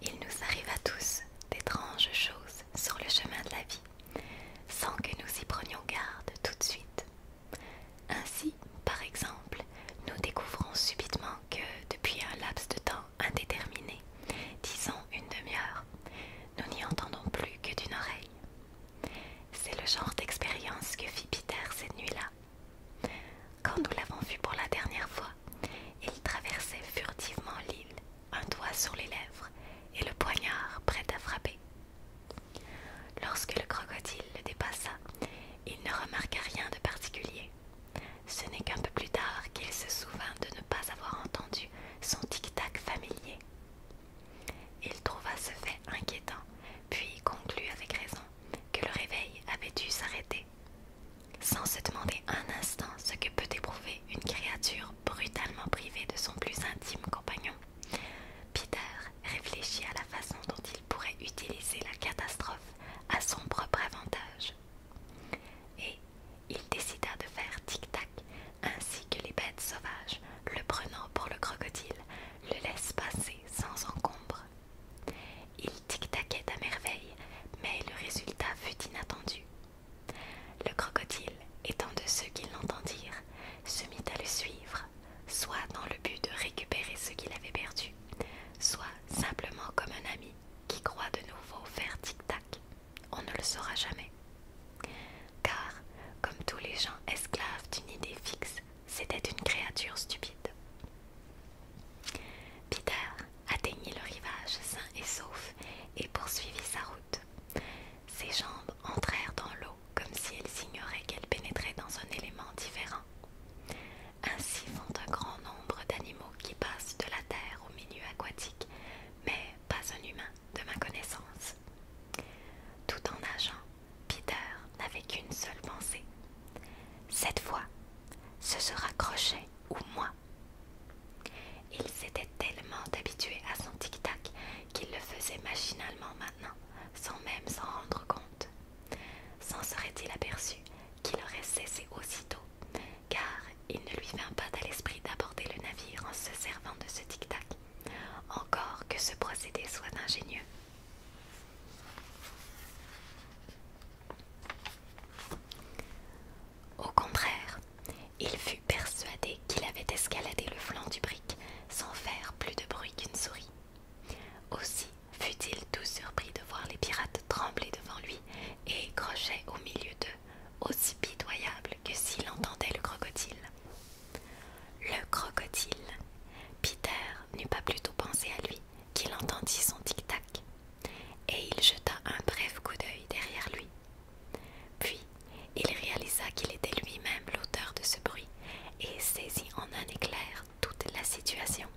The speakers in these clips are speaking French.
Il nous arrive à tous d'étranges choses sur le chemin de la vie, sans que nous y prenions garde tout de suite. Ainsi, par exemple, nous découvrons subitement que, depuis un laps de temps indéterminé, disons une demi-heure, nous n'y entendons plus que d'une oreille. C'est le genre d'expérience que fit Peter cette nuit-là, quand nous l'avons vu pour la dernière fois, il traversait furtivement l'île, un doigt sur les lèvres et le poignard prêt à frapper. Lorsque le crocodile le dépassa, il ne remarqua rien de particulier. Ce n'est qu'un peu plus tard qu'il se souvint de ne pas avoir entendu son tic-tac familier. Il trouva ce fait inquiétant, puis conclut avec raison que le réveil avait dû s'arrêter, sans se demander un instant ce que peut éprouver une créature brutalement privée de son plus intime compagnon. Peter réfléchit à la façon dont il pourrait utiliser la catastrophe à son propre avantage. Et il décida de faire tic-tac ainsi que les bêtes sauvages, le prenant pour le crocodile, le laisse passer sans encombre il tic-taquait à merveille, mais le résultat fut inattendu. Le crocodile, étant de ceux qui l'entendirent, se mit à le suivre, soit dans le but de récupérer ce qu'il avait perdu, soit simplement comme un ami qui croit de nouveau faire tic-tac. On ne le saura jamais. Car, comme tous les gens esclaves d'une idée fixe, c'était une créature stupide. Peter atteignit le rivage sain et sauf et poursuivit sa route. Ses jambes entrèrent dans l'eau comme si elles ignoraient qu'elles pénétrait dans un élément différent. Ainsi font un grand nombre d'animaux qui passent de la terre au milieu aquatique, mais pas un humain de ma connaissance. Tout en nageant, Peter n'avait qu'une seule pensée, cette fois, ce sera Crochet ou moi. Il s'était tellement habitué à son tic-tac qu'il le faisait machinalement maintenant, sans même s'en rendre compte. S'en serait-il aperçu qu'il aurait cessé aussitôt, car il ne lui vint pas à l'esprit d'aborder le navire en se servant de ce tic-tac, encore que ce procédé soit ingénieux. Au contraire, il fut persuadé qu'il avait escaladé le flanc du brick sans faire plus de bruit qu'une souris. Aussi fut-il tout surpris de voir les pirates trembler devant lui et Crochet au milieu d'eux, aussi pitoyable que s'il entendait le crocodile. Le crocodile. Peter n'eut pas plutôt pensé à lui qu'il entendit son tic-tac et il jeta un bref coup d'œil derrière lui. Puis il réalisa qu'il était lui-même l'auteur de ce bruit et saisit en un éclair toute la situation.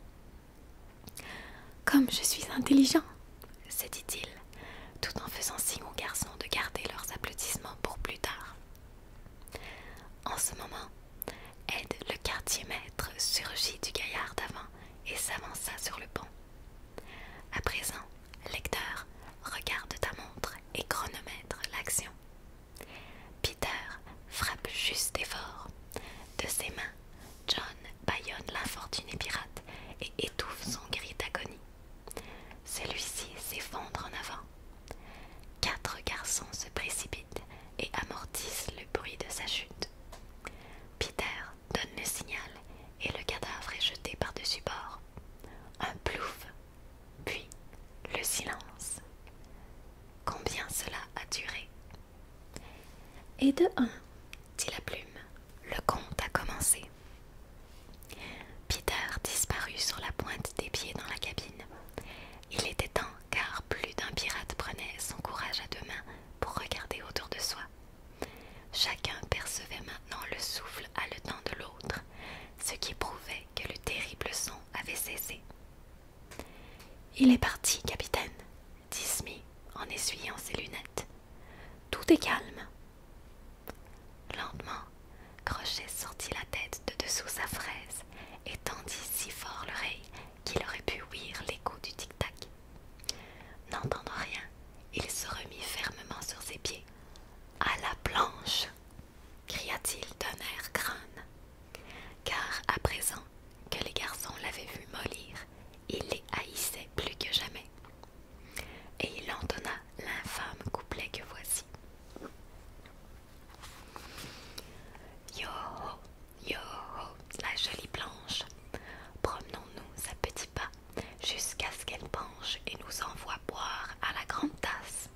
Comme je suis intelligent, se dit-il, tout en faisant signe aux garçons de garder leurs applaudissements pour plus tard. En ce moment, Ed, le quartier maître, surgit du gaillard d'avant et s'avança sur le pont. À présent, lecteur, regarde ta montre et chronomètre l'action. Peter frappe juste et fort. De ses mains, John bâillonne l'infortuné pirate et étouffe son gris d'agonie. Celui-ci s'effondre en avant. Quatre garçons se précipitent et amortissent le bruit de sa chute. Peter donne le signal et le cadavre est jeté par-dessus bord. Un plouf, puis le silence. Combien cela a duré Et de un, dit la plume, le conte a commencé. Peter disparut sur la pointe des pieds dans la cabine. Il était temps car plus d'un pirate prenait son courage à deux mains pour regarder autour de soi. Chacun percevait maintenant le souffle haletant de l'autre, ce qui prouvait que le terrible son avait cessé. Il est parti, capitaine, dit Smith en essuyant ses lunettes. Tout est calme. Lentement, Crochet sortit la tête de dessous sa fraise et tendit si fort l'oreille qu'il aurait pu ouïr l'écho du tic-tac N'entendant rien, il se remit fermement sur ses pieds. À la planche cria-t-il d'un air crâne. Car à présent que les garçons l'avaient vu mollir, il les haïssait plus que jamais. Et il entonna l'infâme couplet que voici. Yo Yo, la jolie planche. Promenons-nous à petits pas jusqu'à ce qu'elle penche et nous envoie boire à la grande tasse.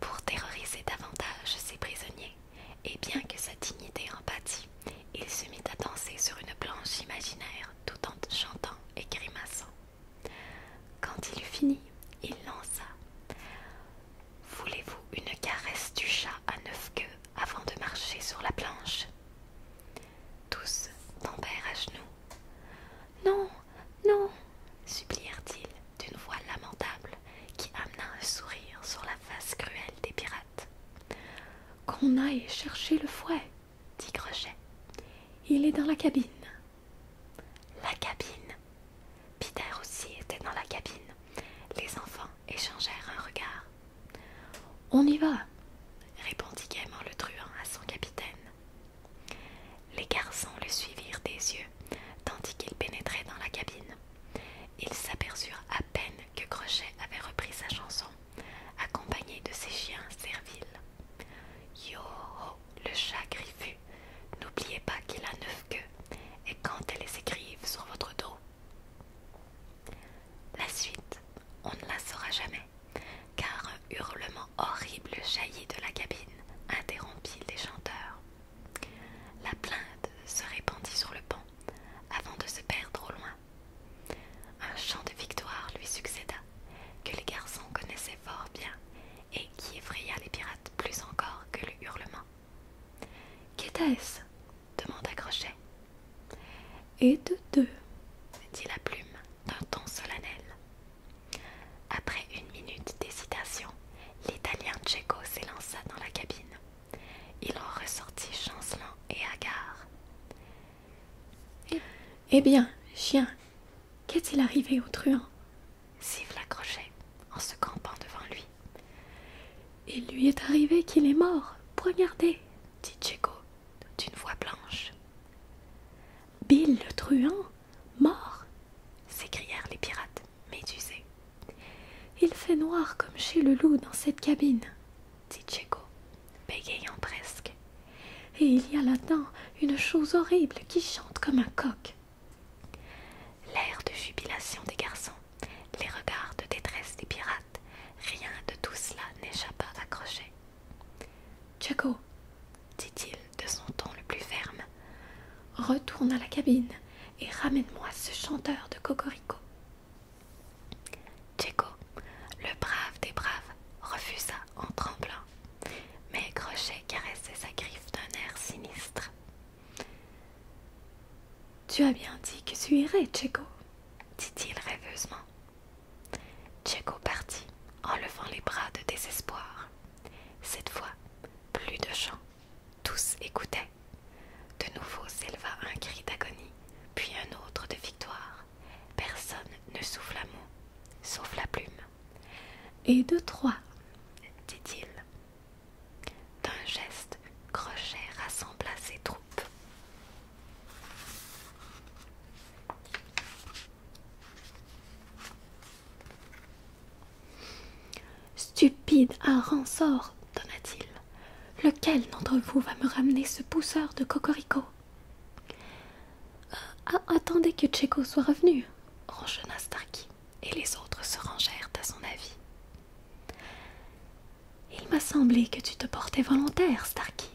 Pour terroriser davantage ses prisonniers, et bien que sa dignité en pâtit, il se mit à danser sur une planche imaginaire tout en chantant et grimaçant. Quand il eut fini, il lança Voulez-vous une caresse du chat à neuf queues avant de marcher sur la planche Tous tombèrent à genoux. Non, non, supplièrent-ils d'une voix lamentable qui amena un sourire sur la face cruelle des pirates. Qu'on aille chercher le fouet, dit Crochet. Il est dans la cabine. La cabine Peter aussi était dans la cabine. Les enfants échangèrent un regard. On y va, répondit gaiement le truand à son capitaine. Les garçons le suivirent des yeux, tandis qu'il pénétrait dans la cabine. Ils s'aperçurent à peine que Crochet avait repris sa chanson, accompagné de ses chiens serviles. Yo le chat griffu, n'oubliez pas qu'il a neuf queues, et quand elles écrivent sur votre dos, la suite, on ne la saura jamais, car un hurlement horrible jaillit de la cabine, interrompit les chanteurs. La plainte se répandit sur le pont, avant de se perdre au loin. Un chant de victoire lui succéda, que les garçons connaissaient fort bien, et qui effraya les pirates plus encore que le hurlement. Qu'était-ce demanda Crochet. Et de deux, dit la plume d'un ton solennel. Après une minute d'hésitation, l'Italien Tcheco s'élança dans la cabine. Il en ressortit chancelant et hagard. Eh, eh bien, chien, qu'est-il arrivé au truand siffla Crochet en se campant devant lui. Il lui est arrivé qu'il est mort. Regardez, dit Checo d'une voix blanche. Bill le truand, mort s'écrièrent les pirates médusés. Il fait noir comme chez le loup dans cette cabine, dit bégayant presque. Et il y a là-dedans une chose horrible qui chante comme un coq. L'air de jubilation des garçons les regards de détresse des pirates, rien de tout cela n'échappa à Crochet. Tcheko, dit-il de son ton le plus ferme, retourne à la cabine et ramène-moi ce chanteur de cocorico. Tcheko, le brave des braves, refusa en tremblant, mais Crochet caressait sa griffe d'un air sinistre. Tu as bien dit que tu irais, Checo, dit-il rêveusement. Tchéco partit en levant les bras de désespoir. Cette fois, plus de chants. Tous écoutaient. De nouveau s'éleva un cri d'agonie, puis un autre de victoire. Personne ne souffla mot, sauf la plume. Et de trois, dit-il, d'un geste, Crochet rassembla ses troupes. Stupide à sort, donna-t-il. Lequel d'entre vous va me ramener ce pousseur de cocorico euh, ah, Attendez que Tcheko soit revenu, ronchonna Starkey et les autres se rangèrent à son avis. Il m'a semblé que tu te portais volontaire, Starkey,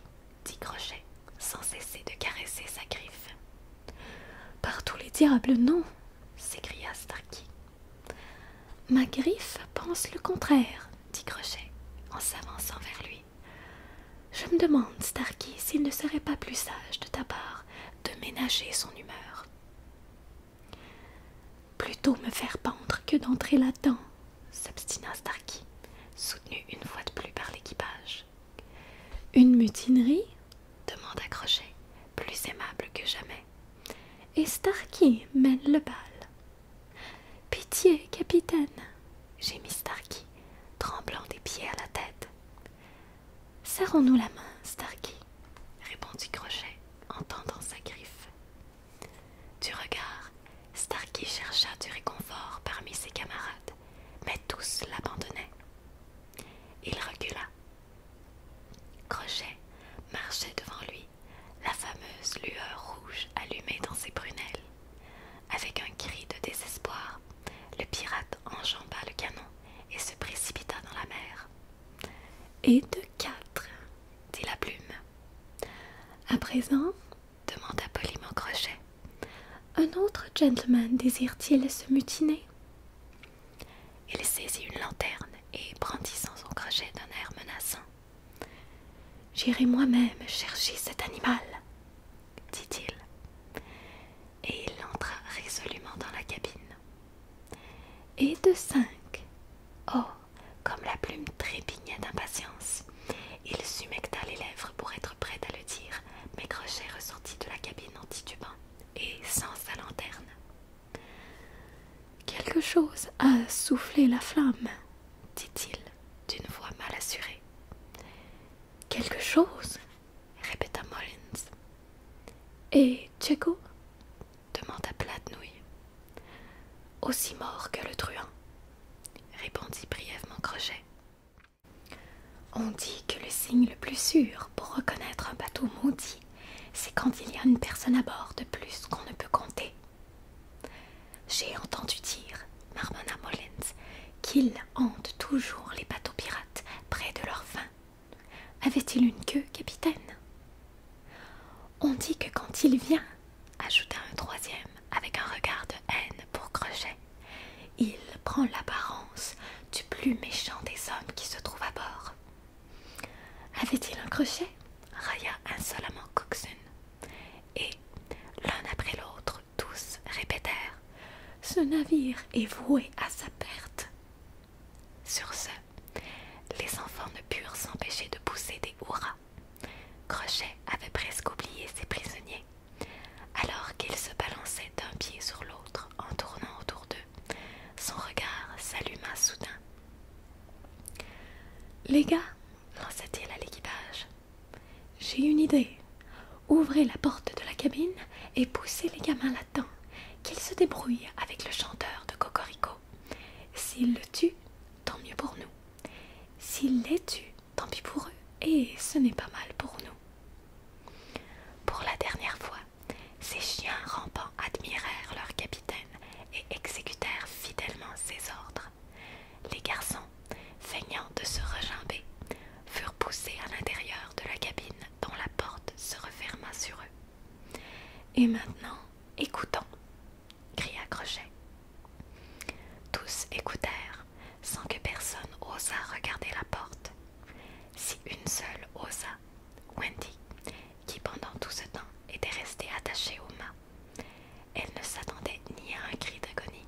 dit Crochet, sans cesser de caresser sa griffe. Par tous les diables, non, s'écria Starkey. Ma griffe pense le contraire, dit Crochet, en s'avançant vers lui. Je me demande, Starky, s'il ne serait pas plus sage de ta part de ménager son humeur. Plutôt me faire pendre que d'entrer là-dedans, s'obstina Starkey, soutenu une fois de plus par l'équipage. Une mutinerie demanda Crochet, plus aimable que jamais. Et Starkey mène le bal. Pitié, capitaine, gémit Starkey, tremblant des pieds à la tête. Serrons-nous la main, Starkey, répondit Crochet, entendant sa griffe. Du regard, Starkey chercha du réconfort parmi ses camarades, mais tous l'abandonnaient. Il recula. Crochet marchait devant lui, la fameuse lueur rouge allumée dans ses prunelles. Avec un cri de désespoir, le pirate enjamba le canon et se précipita dans la mer. Et de quatre, dit la plume. À présent, demanda poliment Crochet, un autre gentleman désire-t-il se mutiner Il saisit une lanterne et brandissant son crochet d'un air menaçant. J'irai moi-même chercher cet animal, dit-il. Et il entra résolument dans la cabine. Et de cinq. Oh Comme la plume trépignait d'impatience. Il s'humecta les lèvres pour être prêt à le dire, mais Crochet ressortit de la cabine en titubant et sans sa lanterne. Quelque chose a soufflé la flamme, dit-il d'une voix mal assurée. Quelque chose, répéta Mollins. Et demanda Platnouille. Aussi mort que le truand, répondit brièvement Crochet. On dit que le signe le plus sûr pour reconnaître un bateau maudit, c'est quand il y a une personne à bord de plus qu'on ne peut compter. J'ai entendu dire, marmonna Mollens, qu'il hante toujours les bateaux pirates près de leur fin. Avait-il une queue, capitaine On dit que quand il vient, ajouta un troisième avec un regard de haine pour Crochet, il prend l'apparence du plus méchant des hommes qui se trouve à bord. Avait-il un crochet railla insolemment Coxon. Et, l'un après l'autre, tous répétèrent Ce navire est voué à sa perte. Sur ce, les enfants ne purent s'empêcher de pousser des hurrahs. Crochet avait presque oublié ses prisonniers, alors qu'ils se balançaient d'un pied sur l'autre en tournant autour d'eux. Son regard s'alluma soudain. Les gars, lança-t-il à l'équipage, j'ai une idée. Ouvrez la porte de la cabine et poussez les gamins là-dedans, qu'ils se débrouillent avec le chanteur de Cocorico. S'ils le tuent, tant mieux pour nous. S'ils les tuent, tant pis pour eux, et ce n'est pas mal pour nous. Pour la dernière fois, ces chiens rampants admirèrent leur capitaine et exécutèrent fidèlement ses ordres. Les garçons, feignant de se regimber, furent poussés à l'intérieur de la cabine dont la porte se referma sur eux. Et maintenant, écoutons, cria Crochet. Tous écoutèrent, sans que personne osât regarder la porte. Si une seule osa, Wendy, qui pendant tout ce temps était restée attachée au mât, elle ne s'attendait ni à un cri d'agonie,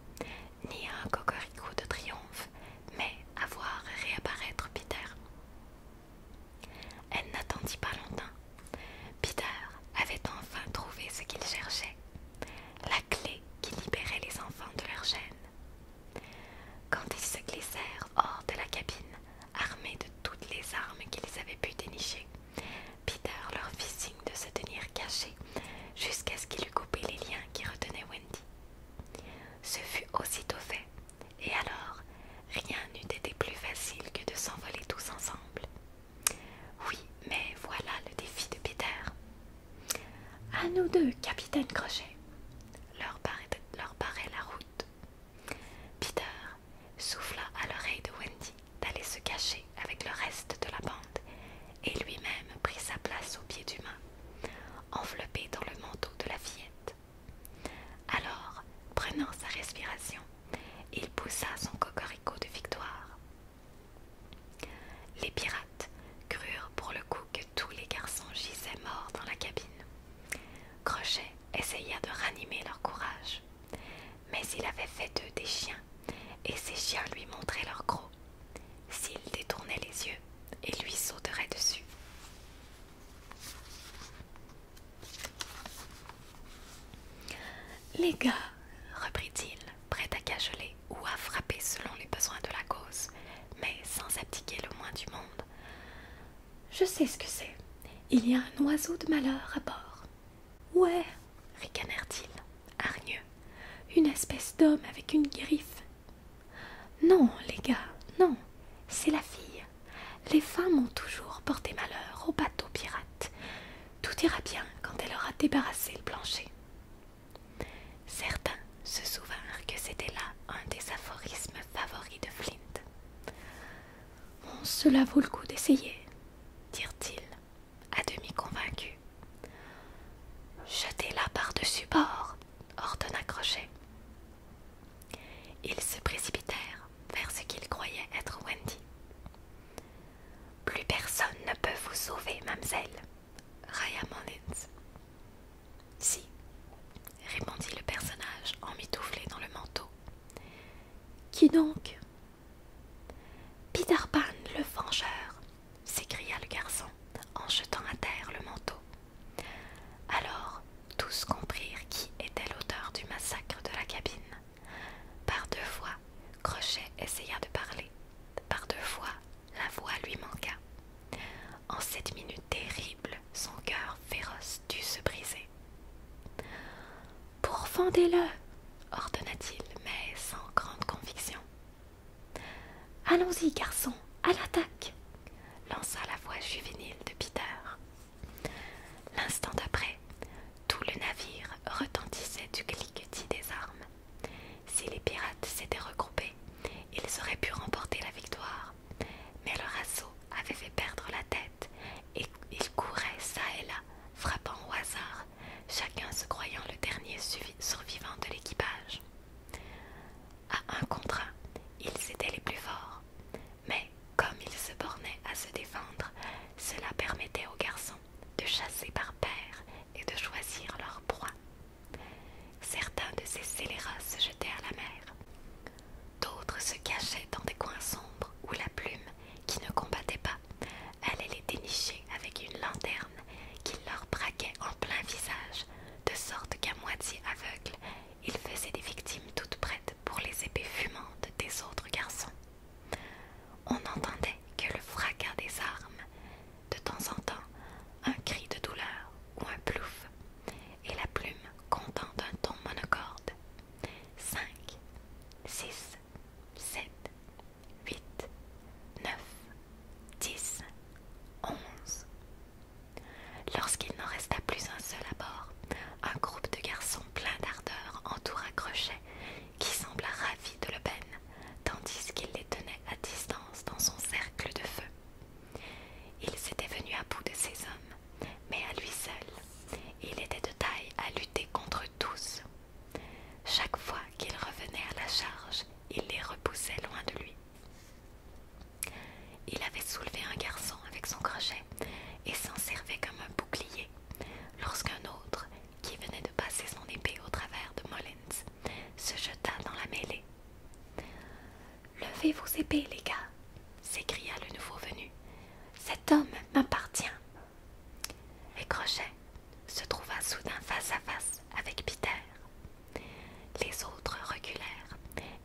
ni à un cocorico de triomphe, mais à voir réapparaître Peter. Elle n'attendit pas longtemps. Peter avait enfin trouvé ce qu'il cherchait, la clé qui libérait les enfants de leur gêne. Quand ils se glissèrent hors de la cabine, armés de toutes les armes qu'ils avaient pu dénicher, Peter leur fit signe de se tenir cachés jusqu'à ce qu'il eût coupé les liens qui retenaient Wendy. Ce fut aussitôt fait, et alors, rien n'eût été plus facile que de s'envoler tous ensemble. Oui, mais voilà le défi de Peter. À nous deux, capitaine Crochet. Leur paraît, leur paraît la route. Peter souffla à l'oreille de Wendy d'aller se cacher avec le reste de la bande et lui-même prit sa place au pied du mât, enveloppé dans le manteau de la fillette. Alors, prenant sa respiration, il poussa son cocorico de victoire. Les pirates crurent pour le coup que tous les garçons gisaient morts dans la cabine. Crochet essaya de ranimer leur courage, mais il avait fait d'eux des chiens, et ces chiens lui montraient leur gros S'ils détournaient les yeux, et lui sauteraient dessus. Les gars, reprit-il, prêt à cajoler ou à frapper selon les besoins de la cause, mais sans abdiquer le moins du monde. Je sais ce que c'est. Il y a un oiseau de malheur à bord. Ouais, ricanèrent-ils, hargneux. Une espèce d'homme avec une griffe. Non, les gars, non. C'est la fille, les femmes ont toujours porté malheur aux bateaux pirates. Tout ira bien quand elle aura débarrassé le plancher. Certains se souvinrent que c'était là un des aphorismes favoris de Flint. Bon, cela vaut le coup d'essayer, dirent-ils, à demi convaincus. Jetez-la par-dessus bord, ordonna Crochet. Ils se précipitèrent vers ce qu'ils croyaient être Wendy. Plus personne ne peut vous sauver, mamselle, Raya Monitz. Si, répondit le personnage en emmitouflé dans le manteau. Qui donc Peter Pan, le vengeur, s'écria le garçon en jetant à terre le manteau. Alors tous comprirent qui était l'auteur du massacre de la cabine. Par deux fois, Crochet essaya de parler. Par deux fois, la voix lui manqua. En cette minute terrible, son cœur féroce dut se briser. Pourfendez-le ordonna-t-il, mais sans grande conviction. Allons-y, garçon, à l'attaque lança la voix juvénile de Peter. L'instant d'après, tout le navire retentissait du cliquetis des armes. Si les pirates s'étaient regroupés, ils auraient pu remporter la victoire, mais leur assaut avait fait perdre la tête et ils couraient çà et là, frappant au hasard, chacun se croyant le dernier survivant de l'équipage. À un contre ils étaient les plus forts. Mais comme ils se bornaient à se défendre, cela permettait aux garçons de chasser par paire et de choisir leur proie. Certains de ces scélérats se jetaient à la mer. D'autres se cachaient dans des coins sombres où la plume, qui ne combattait pas, allait les dénicher avec une lanterne qui leur braquait en plein visage, de sorte qu'à moitié aveugle, il faisait des victimes toutes prêtes pour les épées fumantes des autres garçons. On n'entendait que le fracas des armes, de temps en temps un cri de douleur ou un plouf, et la plume comptant d'un ton monocorde. Cinq, six, sept, huit, neuf, dix, onze, Lorsqu'il n'en resta plus un seul à bord, un groupe de garçons pleins d'ardeur entoura Crochet, qui sembla ravi de l'aubaine, tandis qu'il les tenait à distance dans son cercle de feu. Il s'était venu à bout de ces hommes, mais à lui seul, il était de taille à lutter contre tous. Chaque fois qu'il revenait à la charge, il les repoussait loin de lui. Il avait soulevé un garçon avec son crochet et s'en servait comme un bouclier lorsqu'un autre, qui venait de passer son épée au travers de Molins, se jeta dans la mêlée. Levez vos épées, les gars, s'écria le nouveau venu. Cet homme m'appartient. Et Crochet se trouva soudain face à face avec Peter. Les autres reculèrent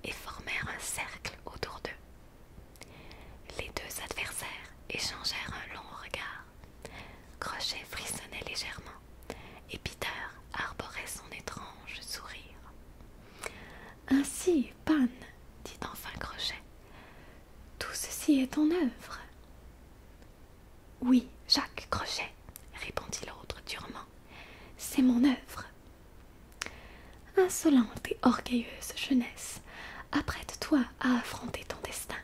et formèrent un cercle autour d'eux. Les deux adversaires échangèrent un long regard. Crochet frissonnait légèrement et Peter arborait son étrange sourire. Ainsi, Pan, dit enfin Crochet, tout ceci est ton œuvre. Oui, Jacques Crochet, répondit l'autre durement, c'est mon œuvre, Insolente et orgueilleuse jeunesse, apprête-toi à affronter ton destin.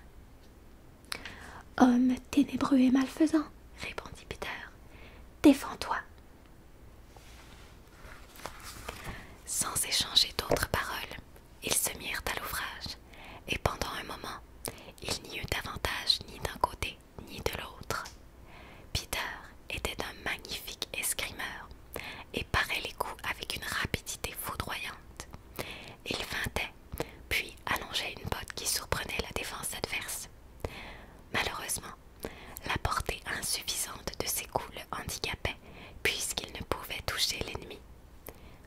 Homme ténébreux et malfaisant, répondit Peter, défends-toi. Sans échanger d'autres paroles, ils se mirent à l'ouvrage, et pendant un moment, il n'y eut d'avantage ni d'un côté ni de l'autre. Peter était un magnifique escrimeur et parait les coups avec une rapidité foudroyante. Il feintait, puis allongeait une botte qui surprenait la défense adverse. Malheureusement, la portée insuffisante de ses coups le handicapait puisqu'il ne pouvait toucher l'ennemi.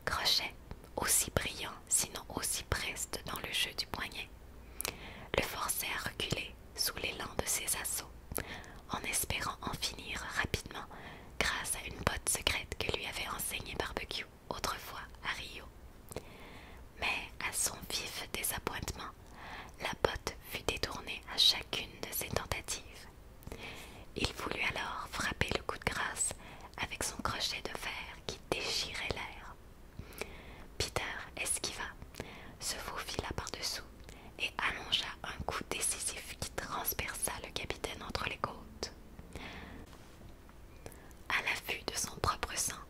Crochet, aussi brillant, sinon aussi preste dans le jeu du poignet, le forçait à reculer sous l'élan de ses assauts, en espérant en finir rapidement grâce à une botte secrète que lui avait enseignée Barbecue autrefois à Rio. Mais à son vif désappointement, la botte fut détournée à chacune de ses tentatives. Il voulut alors frapper le coup de grâce avec son crochet de fer qui déchirait l'air. Peter esquiva se faufila par-dessous et allongea un coup décisif qui transperça le capitaine entre les côtes. À l'affût de son propre sang,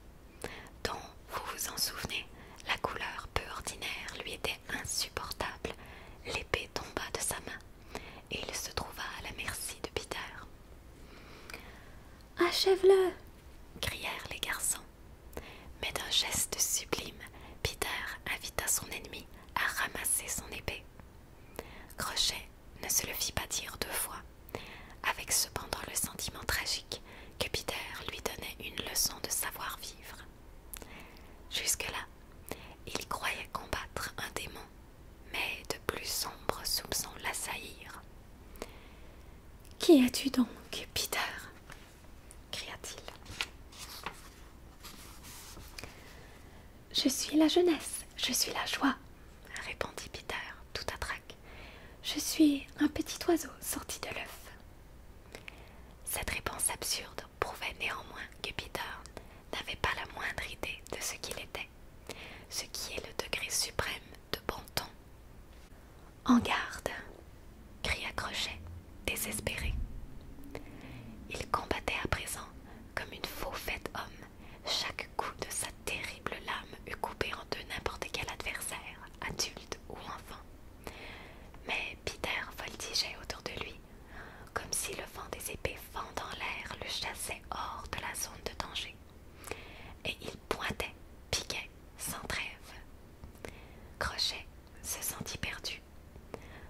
dont, vous vous en souvenez, la couleur peu ordinaire lui était insupportable, l'épée tomba de sa main et il se trouva à la merci de Peter. Achève-le crièrent les garçons mais d'un geste sublime, Peter invita son ennemi à ramasser son épée. Crochet ne se le fit pas dire deux fois, avec cependant le sentiment tragique que Peter lui donnait une leçon de savoir-vivre. Jusque-là, il croyait combattre un démon, mais de plus sombres soupçons l'assaillirent. Qui es-tu donc, Peter cria-t-il. Je suis la jeunesse, je suis la joie, répondit Peter, tout à trac. Je suis un petit oiseau sorti de l'œuf. Cette réponse absurde prouvait néanmoins que Peter n'avait pas la moindre idée de ce qu'il était, ce qui est le degré suprême de bon ton. En garde cria Crochet, désespéré. Il combattait à présent comme une faux homme. Chaque coup de sa terrible lame eût coupé en deux n'importe quel adversaire, adulte ou enfant. Mais Peter voltigeait autour de lui, comme si le vent des épées fendant l'air le chassait hors de la zone de danger. Et il pointait, piquait, sans trêve. Crochet se sentit perdu.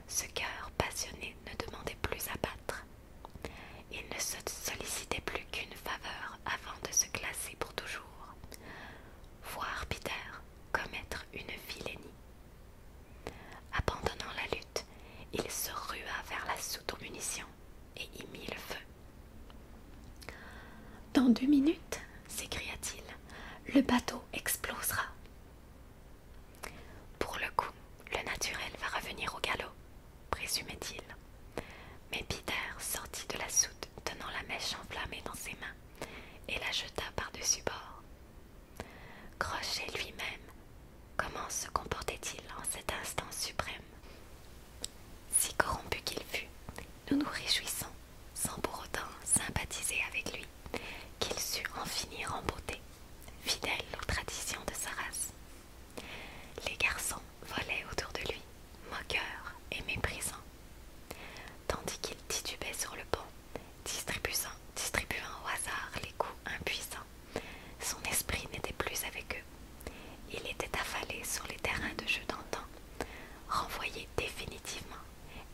Ce cœur passionné ne demandait plus à battre. Il ne se sollicitait plus qu'une faveur avant de se classer pour toujours. Voir Peter commettre une vilénie. Abandonnant la lutte, il se rua vers la soute aux munitions et y mit le feu. Dans deux minutes, s'écria-t-il, le bateau explosera. Pour le coup, le naturel va revenir au galop, présumait-il. Mais Peter sortit de la soute, tenant la mèche enflammée dans ses mains, et la jeta par-dessus bord. Crochet lui-même, comment se comportait-il en cet instant suprême Si corrompu qu'il fût, nous nous réjouissons sans pour autant sympathiser avec lui, qu'il sut en finir en beauté, fidèle aux traditions de sa race. Les garçons volaient autour de lui, moqueurs et méprisants, tandis qu'il titubait sur le pont, distribuant, distribuant au hasard les coups impuissants. Son esprit n'était plus avec eux. Il était affalé sur les terrains de jeu d'antan, renvoyé définitivement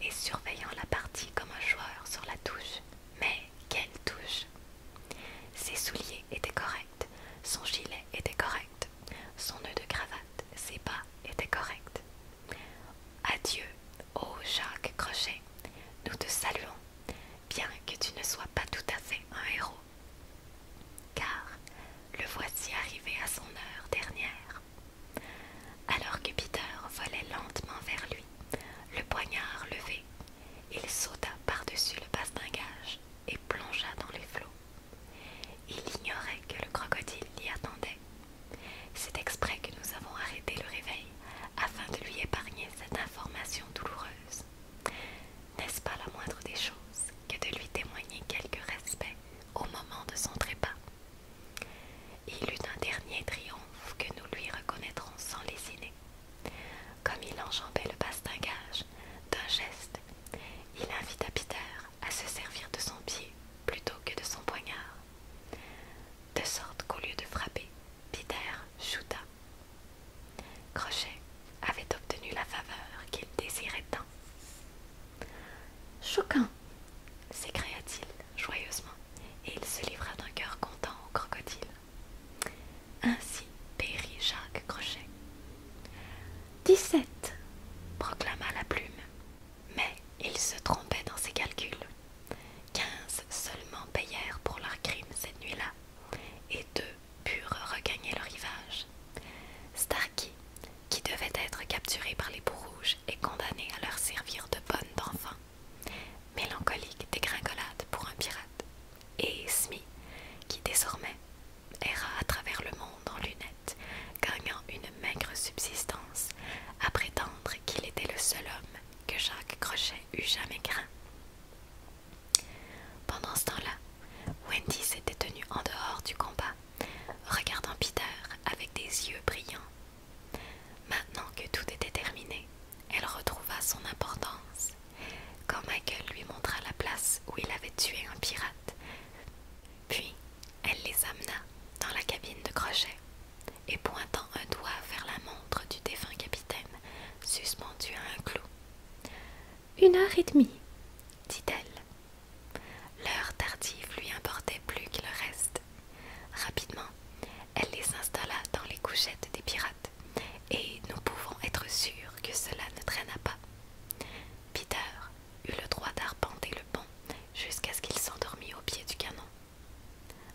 et surveillant la partie comme un joueur sur la touche. Mais quelle touche Ses souliers étaient corrects, son gilet était correct, son nœud de cravate, ses pas étaient corrects. Adieu, ô Jacques Crochet, nous te saluons, bien que tu ne sois pas tout à fait un héros. Car le voici arrivé à son heure dernière. Alors que Peter volait lentement vers lui, le poignard levé, il sauta par-dessus le bastingage et plongea dans les flots. Il ignorait que le crocodile l'y attendait. C'est exprès que nous avons arrêté le réveil afin de lui épargner cette information douloureuse. N'est-ce pas la moindre des choses que de lui témoigner quelque respect au moment de son trépas il eut un dernier triomphe que nous lui reconnaîtrons sans lésiner. Comme il enjambait le bastingage d'un geste, il invita Peter à se servir de son pied plutôt que de son poignard, de sorte qu'au lieu de frapper, Peter chuta Crochet avait obtenu la faveur qu'il désirait tant. Choquin s'écria-t-il joyeusement, et il se livra d'un cœur content au crocodile. Ainsi périt Jacques Crochet. Dix-sept proclama la plume, mais il se trompait dans ses calculs. Quinze seulement payèrent pour leur crime cette nuit-là, et deux purent regagner le rivage. Starkey qui devaient être capturés par les bourrouges et condamnés à leur servir de bonne d'enfant. Mélancolique dégringolade pour un pirate, et Smith, qui désormais erra à travers le monde en lunettes, gagnant une maigre subsistance, à prétendre qu'il était le seul homme que Jacques Crochet eût jamais craint. Pendant ce temps-là, Wendy s'était tenue en dehors du combat regardant Peter avec des yeux brillants. Maintenant que tout était terminé, elle retrouva son importance. Quand Michael lui montra la place où il avait tué un pirate, puis elle les amena dans la cabine de crochet et pointant un doigt vers la montre du défunt capitaine suspendue à un clou. Une heure et demie, dit-elle. L'heure tardive lui importait plus que le reste. Rapidement, elle les installa dans les couchettes des pirates, et nous pouvons être sûrs que cela ne traîna pas. Peter eut le droit d'arpenter le pont jusqu'à ce qu'il s'endormit au pied du canon.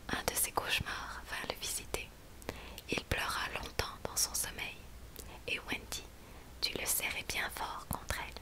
Un de ses cauchemars vint le visiter. Il pleura longtemps dans son sommeil, et Wendy tu le serrais bien fort contre elle.